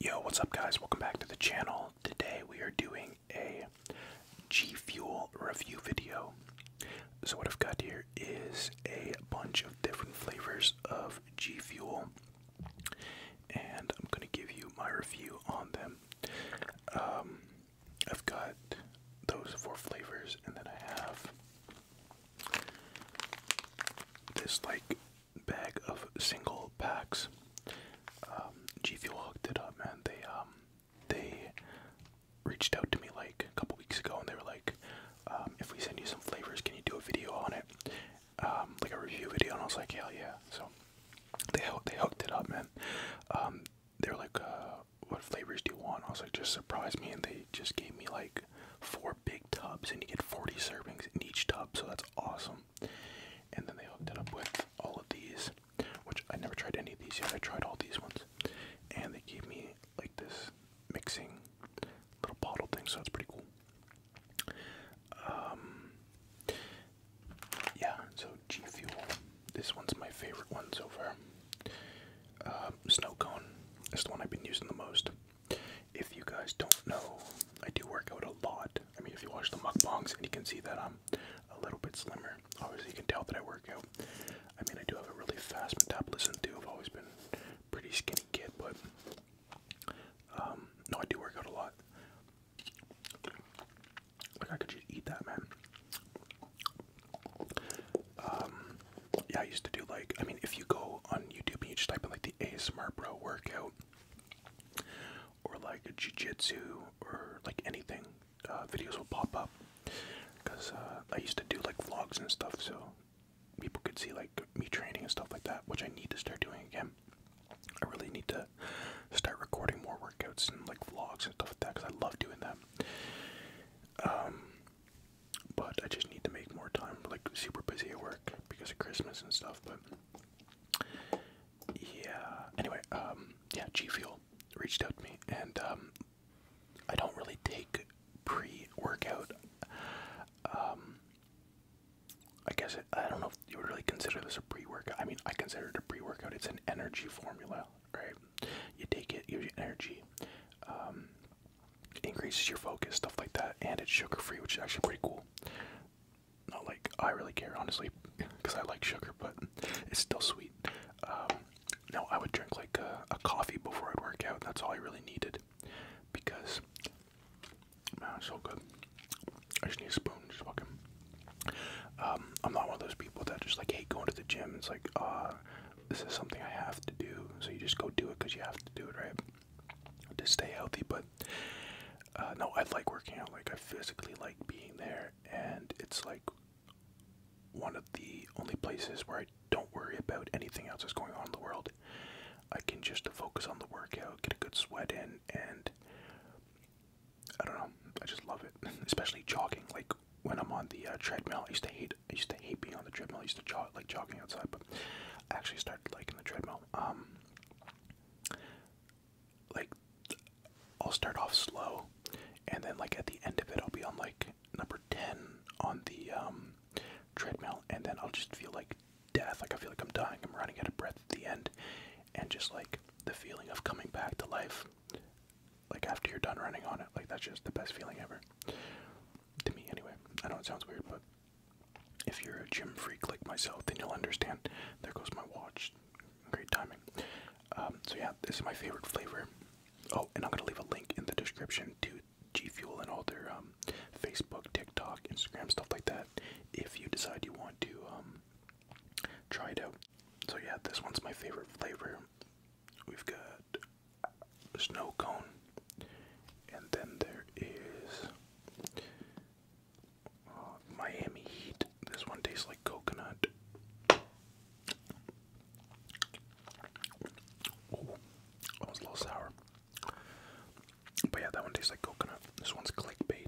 Yo, what's up, guys? Welcome back to the channel. Today we are doing a G Fuel review video. So, what I've got here is a bunch of different flavors of G Fuel, and I'm going to give you my review on them. Um, I've got those four flavors, and then I have this like bag of single packs. Um, G Fuel hooked it up, man. They um, they reached out to me like a couple weeks ago, and they were like, um, "If we send you some flavors, can you do a video on it, um, like a review video?" And I was like, "Hell yeah!" So they they hooked it up, man. they were like, uh, "What flavors do you want?" I was like, "Just surprise me," and they just gave me like four big tubs, and you get forty servings in each tub, so that's awesome. And then they hooked it up with all of these, which I never tried any of these yet. I tried all these ones. And they gave me like this mixing little bottle thing, so that's pretty cool. Um, yeah, so G Fuel. This one's my favorite one so far. Uh, snow Cone is the one I've been using the most. If you guys don't know, I do work out a lot. I mean, if you watch the mukbangs, and you can see that I'm a little bit slimmer. Obviously, you can tell that I work out. I mean, I do have a really fast metabolism too. I've always been pretty skinny kid, but um, no, I do work out a lot. Like I could just eat that, man. Um, yeah, I used to do like. I mean, if you go on YouTube and you just type in like the Smart bro workout, or like jiu jitsu, or like anything, uh, videos will pop up. Cause uh, I used to do like vlogs and stuff, so people could see like me training and stuff like that, which I need to start doing again. I really need to start recording more workouts and like vlogs and stuff like that, cause I love doing that. Um, but I just need to make more time. Like super busy at work because of Christmas and stuff, but yeah. Anyway, um, yeah, G Fuel reached out to me, and um, I don't really take pre-workout. Um, I guess I don't know if you would really consider this a pre-workout. I mean, I consider it a pre-workout. It's an energy formula, right? You take it, gives you energy. Um, increases your focus, stuff like that, and it's sugar free, which is actually pretty cool. Not like I really care, honestly, because I like sugar, but it's still sweet. Um, no, I would drink like a, coffee before I'd work out. That's all I really needed because man, it's so good. I just need a spoon, just fucking. Um, I'm not one of those people that just like hate going to the gym. It's like, uh, this is something I have to do, so you just go do it because you have to do it, right? to stay healthy, but uh, no, I like working out. Like I physically like being there, and it's like one of the only places where I don't worry about anything else that's going on in the world. I can just focus on the workout, get a good sweat in, and I don't know. I just love it, especially jogging. Like when I'm on the uh, treadmill, I used to hate. I used to hate being on the treadmill. I used to jog like jogging outside, but I actually started liking the treadmill. Um, like I'll start off slow, and then like at the end of it, I'll be on like number ten on the um, treadmill, and then I'll just feel like death. Like I feel like I'm dying. I'm running out of breath at the end, and just like the feeling of coming back to life, like after you're done running on it. Like that's just the best feeling ever. To me, anyway. I know it sounds weird, but if you're a gym freak like myself, then you'll understand. There goes my watch. Great timing. Um, so yeah, this is my favorite flavor. Oh, and I'm gonna leave a link in the description to G Fuel and all their um, Facebook, TikTok, Instagram stuff like that. If you decide you want to um, try it out. So yeah, this one's my favorite flavor. We've got snow cone, and then there is Oh, Miami Heat. This one tastes like coconut. that was a little sour. But yeah, that one tastes like coconut. This one's clickbait.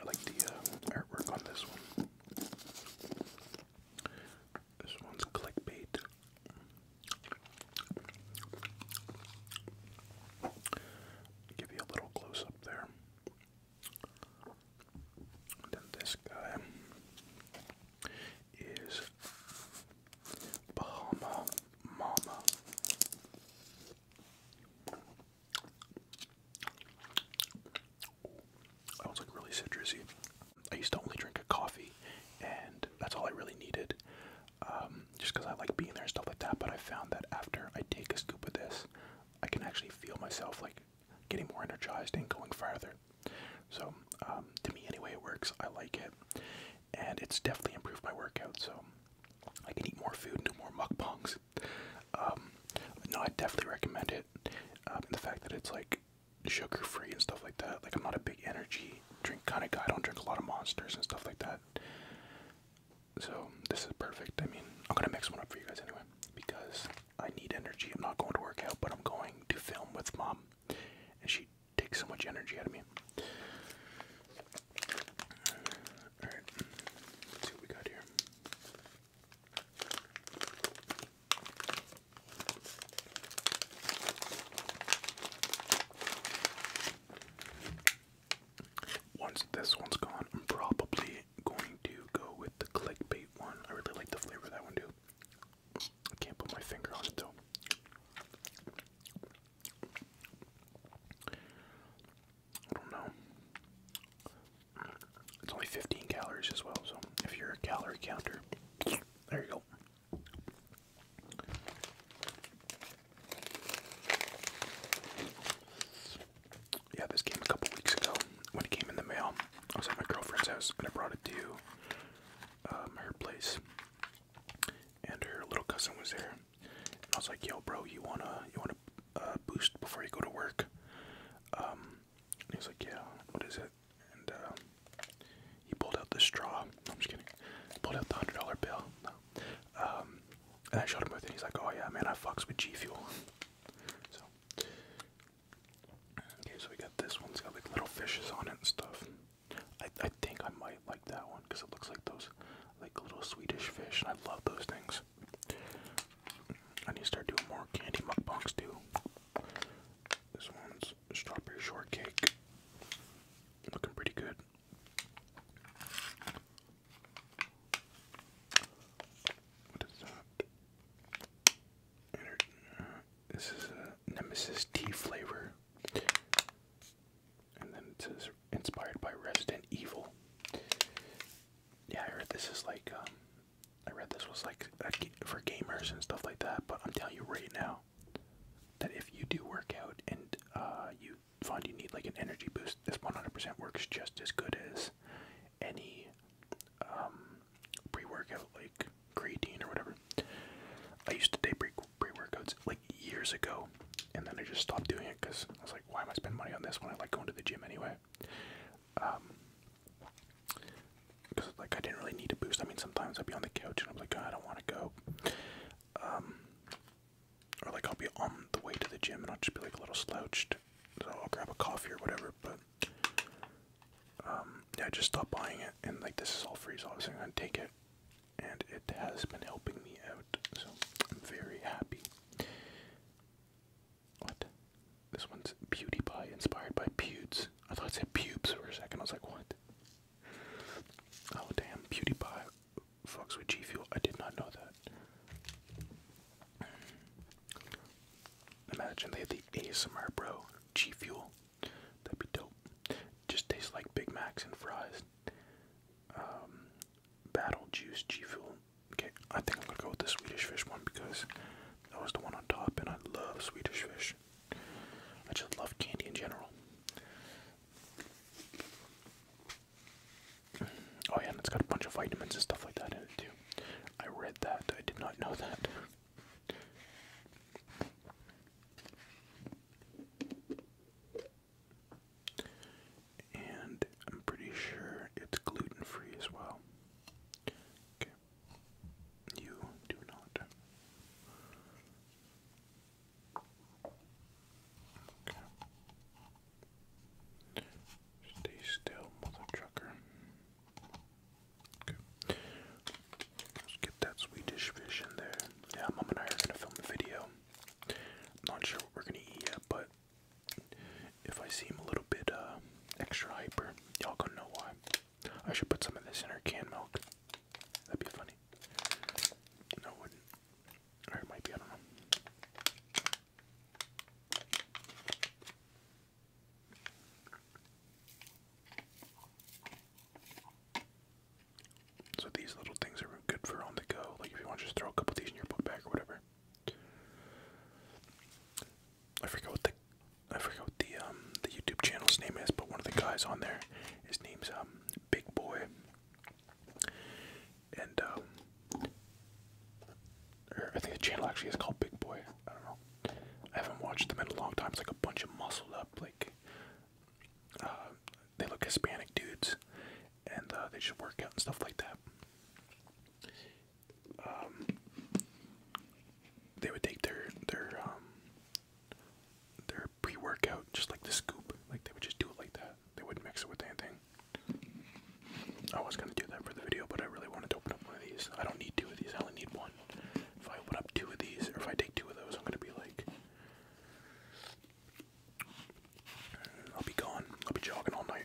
I like the uh, artwork on this one. This one's clickbait. Give you a little close up there. then this guy is Bahama Mama. That was like really citrusy. I used to only drink a coffee, and that's all I really needed, um, just because I like being there and stuff like that. But I found that after I take a scoop of this, I can actually feel myself like getting more energized and going farther. So um, to me, anyway, it works. I like it, and it's definitely improved my workout. So I can eat more food and do more mukbangs. Um, no, I definitely recommend it. Um, the fact that it's like sugar free and stuff like that. Like I'm not a big energy drink kind of guy. I don't drink a lot of monsters and stuff like that. So this is perfect. I mean, I'm gonna mix one up for you guys anyway because I need energy. I'm not going to work out, but I'm going to film with mom, and she takes so much energy out of me. All right, let's see what we got here. Once this one's gone, I'm probably going to go with the clickbait one. I really like the flavor of that one, too. I can't put my finger on it, though. I don't know. It's only 15 calories as well, so if you're a calorie counter, there you go. Yeah, this came a couple weeks ago when it came in the mail. I was at my girlfriend's house and I brought it to um, her place, and her little cousin was there. I was like, "Yo, bro, you wanna you wanna uh, boost before you go to work?" Um, he was like, "Yeah, what is it?" and uh, he pulled out the straw. I'm just kidding. He pulled out the hundred dollar bill. No. Um, and I showed him with it. He's like, "Oh yeah, man, I fucks with G Fuel." so, okay, so we got this one. It's got like little fishes on it and stuff. I I think I might like that one because it looks like those like little Swedish fish, and I love those things. I need to start doing more candy mukbangs too. This one's strawberry shortcake. Looking pretty good. What is that? Uh, this is a Nemesis tea flavor. And then it says inspired by Resident Evil. Yeah, I heard this is like um, I read this was like for gamers and stuff like that, but I'm telling you right now that if you do work out and uh, you find you need like an energy boost, this 100% works just as good as any um, pre-workout like creatine or whatever. I used to take pre pre-workouts like years ago, and then I just stopped doing it because I was like, why am I spending money on this when I like going to the gym anyway? Um, like I didn't really need a boost. I mean, sometimes I'd be on the couch and I'm like, I don't want to go, um, or like I'll be on the way to the gym and I'll just be like a little slouched, so I'll grab a coffee or whatever. But um, yeah, I just stopped buying it, and like this is all free, so I was going take it, and it has been helping me out, so I'm very happy. What? This one's Beauty Pie, inspired by Pewds. I thought it said pubes for a second. I was like, what? Oh damn, Beauty Pie fucks with G Fuel. I did not know that. Imagine they had the ASMR bro G Fuel. That'd be dope. Just tastes like Big Macs and fries. Um, Battle Juice G Fuel. Okay, I think I'm gonna go with the Swedish Fish one because that was the one on top, and I love Swedish Fish. I just love candy in general. Oh yeah, and it's got a bunch of vitamins and stuff like that in it too. I read that. I did not know that. And I'm pretty sure it's gluten free as well. Okay. You do not. Stay still, mother trucker. Okay. Let's get that Swedish fish in there. Yeah, Mom and I are gonna film a video. not sure what we're gonna eat yet, but if I seem a little bit uh extra hyper, y'all gonna know why. I should put some of this in her canned milk. That'd be funny. No, wouldn't. Or it might be, I don't know. So these little things are good for on the go. Like if you want just throw a couple of these in your book bag or whatever. I forget what the I forget what the um, the YouTube channel's name is, but one of the guys on there, his name's um, Big Boy, and um, I think the channel actually is called Big Boy. I don't know. I haven't watched them in a long time. It's like a bunch of muscled up, like uh, they look Hispanic dudes, and uh, they just work out and stuff like that. Um, they would take their their um, their pre-workout just like the scoop, like they would just do it like that. They wouldn't mix it with anything. I was gonna do that for the video, but I really wanted to open up one of these. I don't need two of these. I only need one. If I open up two of these, or if I take two of those, I'm gonna be like, I'll be gone. I'll be jogging all night.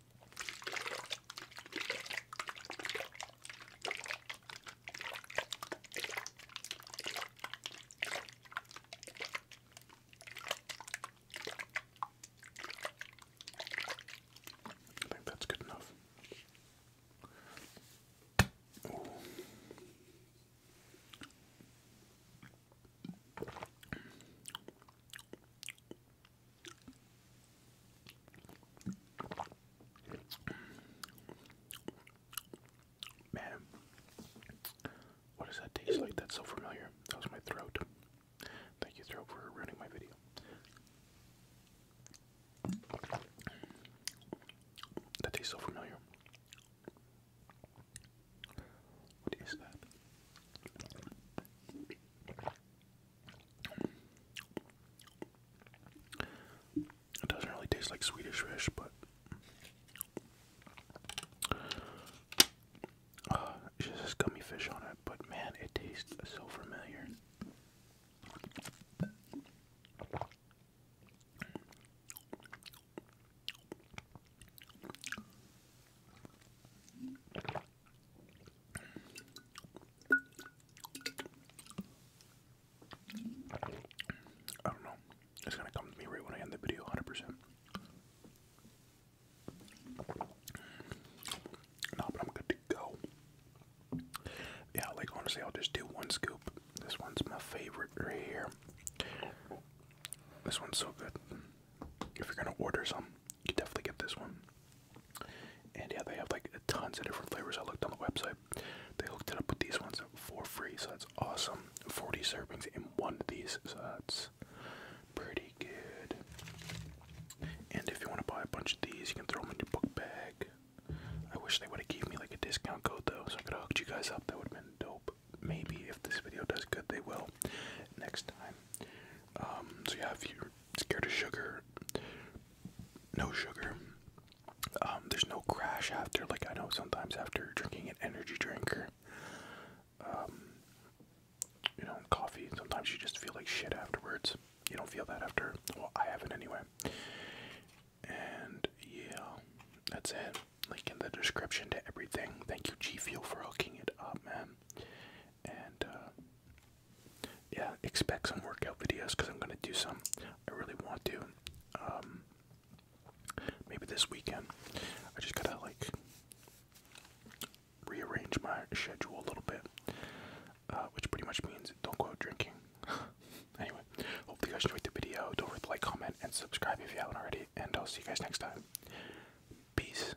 I think that's good enough. Man, what does that taste like? That's so familiar. That was my throat. Thank you, throat, for ruining my video. That tastes so familiar. What is that? It doesn't really taste like Swedish fish, but uh, just gummy fish on it. But man, it tastes so familiar. I don't know. It's gonna come to me right when I end the video, hundred percent. No, but I'm good to go. Yeah, like honestly, I'll just do one scoop. This one's my favorite right here. This one's so good. If you're gonna order some, you definitely get this one. And yeah, they have like tons of different flavors. I looked on the website. They hooked it up with these ones for free, so that's awesome. 40 servings in one of these, so that's pretty good. And if you want to buy a bunch of these, you can throw them in your book bag. I wish they would have gave me like a discount code though, so I could have hooked you guys up. That would have been dope. Maybe if this video does good, they will next time. Um, so yeah, if you're scared of sugar, no sugar. Um, there's no crash after. Like I know sometimes after drinking an energy drink um, you know, coffee, sometimes you just feel like shit afterwards. You don't feel that after. Well, I haven't anyway. And yeah, that's it. Link in the description to everything. Thank you, G Fuel, for hooking it up, man and uh, yeah, expect some workout videos because I'm gonna do some. I really want to. Um, maybe this weekend. I just gotta like rearrange my schedule a little bit, uh, which pretty much means don't go out drinking. anyway, hopefully you guys enjoyed the video. Don't forget to like, comment, and subscribe if you haven't already. And I'll see you guys next time. Peace.